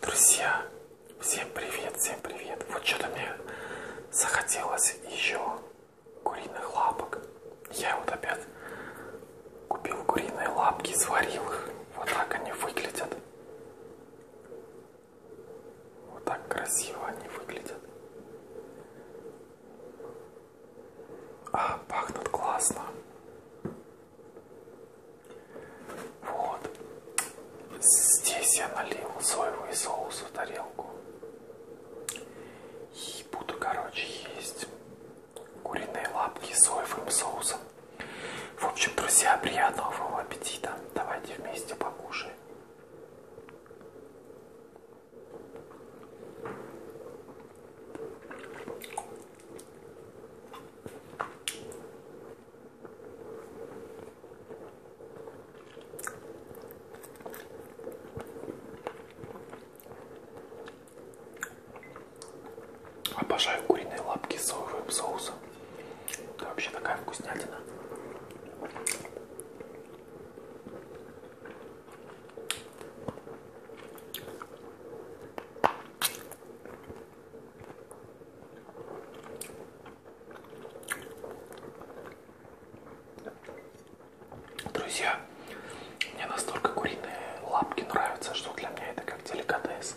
Друзья, всем привет, всем привет. Вот что-то мне захотелось еще куриных лапок. Я вот опять купил куриные лапки, сварил их. Вот так они выглядят. Вот так красиво они выглядят. А, пахнут классно. Вот. Здесь я налил соевый соус в тарелку. И буду, короче, есть куриные лапки с соевым соусом. В общем, друзья, приятного вам аппетита. Давайте вместе покушаем. Обожаю куриные лапки с соевым соусом. Это вообще такая вкуснятина. Друзья, мне настолько куриные лапки нравятся, что для меня это как деликатес.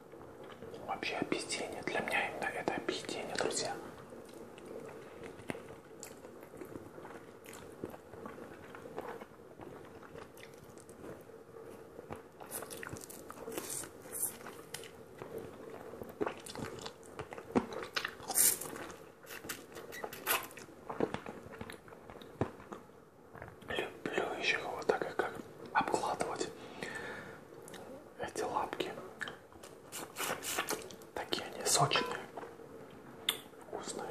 Вообще объедение. Для меня именно это объедение, друзья. Люблю еще вот так, как обкладывать эти лапки. Такие они сочные, вкусные.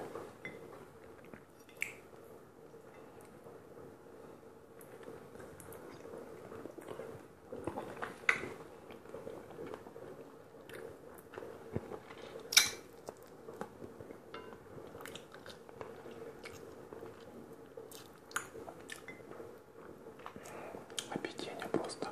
Объедение просто.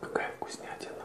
Какая вкуснятина.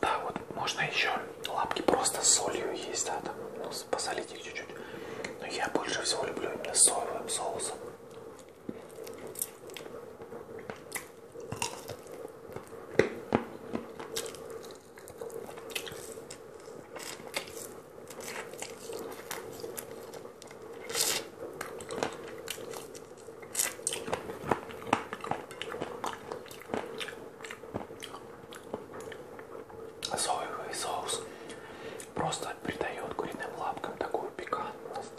Да, вот можно еще лапки просто с солью есть, да, там, ну, посолить их чуть-чуть. Но я больше всего люблю именно соевым соусом. Соевый соус просто придает куриным лапкам такую пикантность.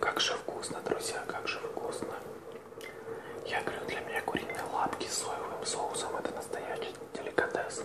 Как же вкусно, друзья, как же вкусно. Я говорю, для меня куриные лапки с соевым соусом это настоящий деликатес.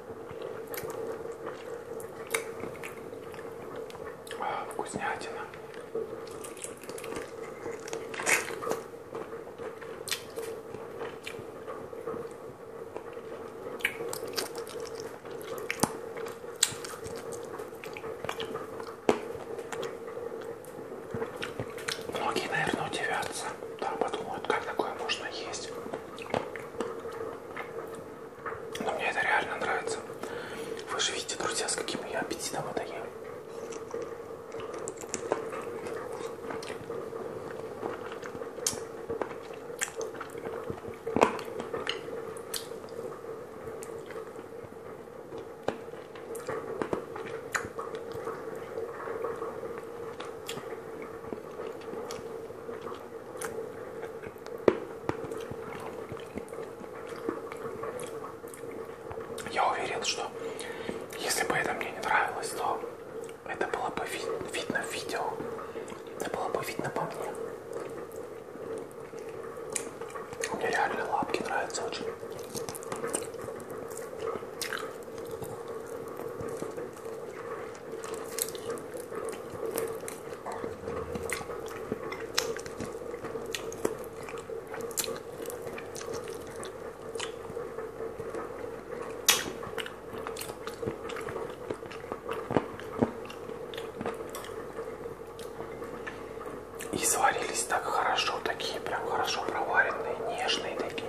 Вкуснятина. Многие, наверное, удивятся, да, подумают, как такое можно есть. Но мне это реально нравится. Вы же видите, друзья, с каким я аппетитом это ем. Я уверен, что если бы это мне не нравилось, то это было бы ви видно в видео. Это было бы видно по мне. Мне реально лапки нравятся очень. И сварились так хорошо, такие прям хорошо проваренные, нежные такие.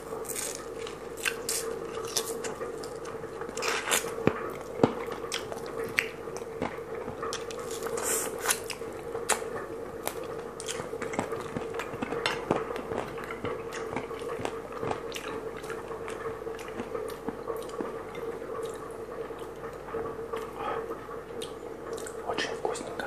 Очень вкусненько.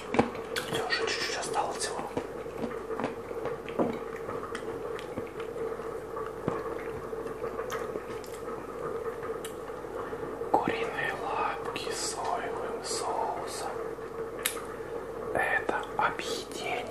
Все, уже чуть-чуть осталось всего. Куриные лапки с соевым соусом. Это объедение.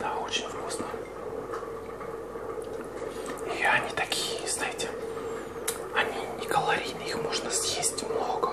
Да, очень вкусно. И они такие, знаете, они не калорийные, их можно съесть много.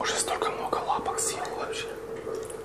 Уже столько много лапок съел вообще.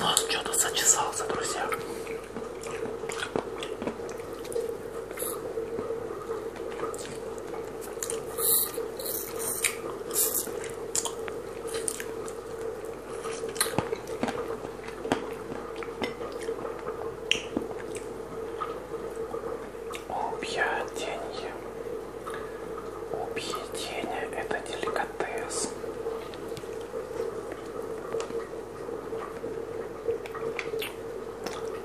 Нос что-то зачесался, друзья. Объедение. Объедение – это деликатес.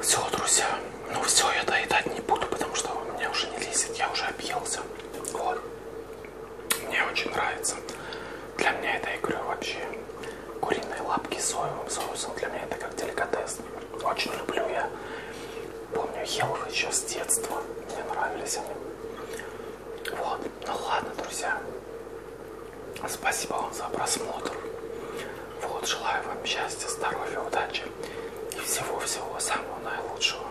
Все, друзья, ну все, я доедать не буду, потому что у меня уже не лезет, я уже объелся. Вот. Мне очень нравится. Для меня это, я говорю, вообще куриные лапки с соевым соусом. Для меня это как деликатес. Очень люблю я Помню, ел их еще с детства. Мне нравились они. Вот. Ну ладно, друзья. Спасибо вам за просмотр. Вот, желаю вам счастья, здоровья, удачи и всего-всего самого наилучшего.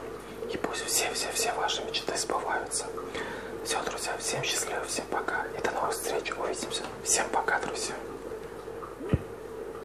И пусть все-все-все ваши мечты сбываются. Все, друзья, всем счастливо, всем пока. И до новых встреч. Увидимся. Всем пока, друзья.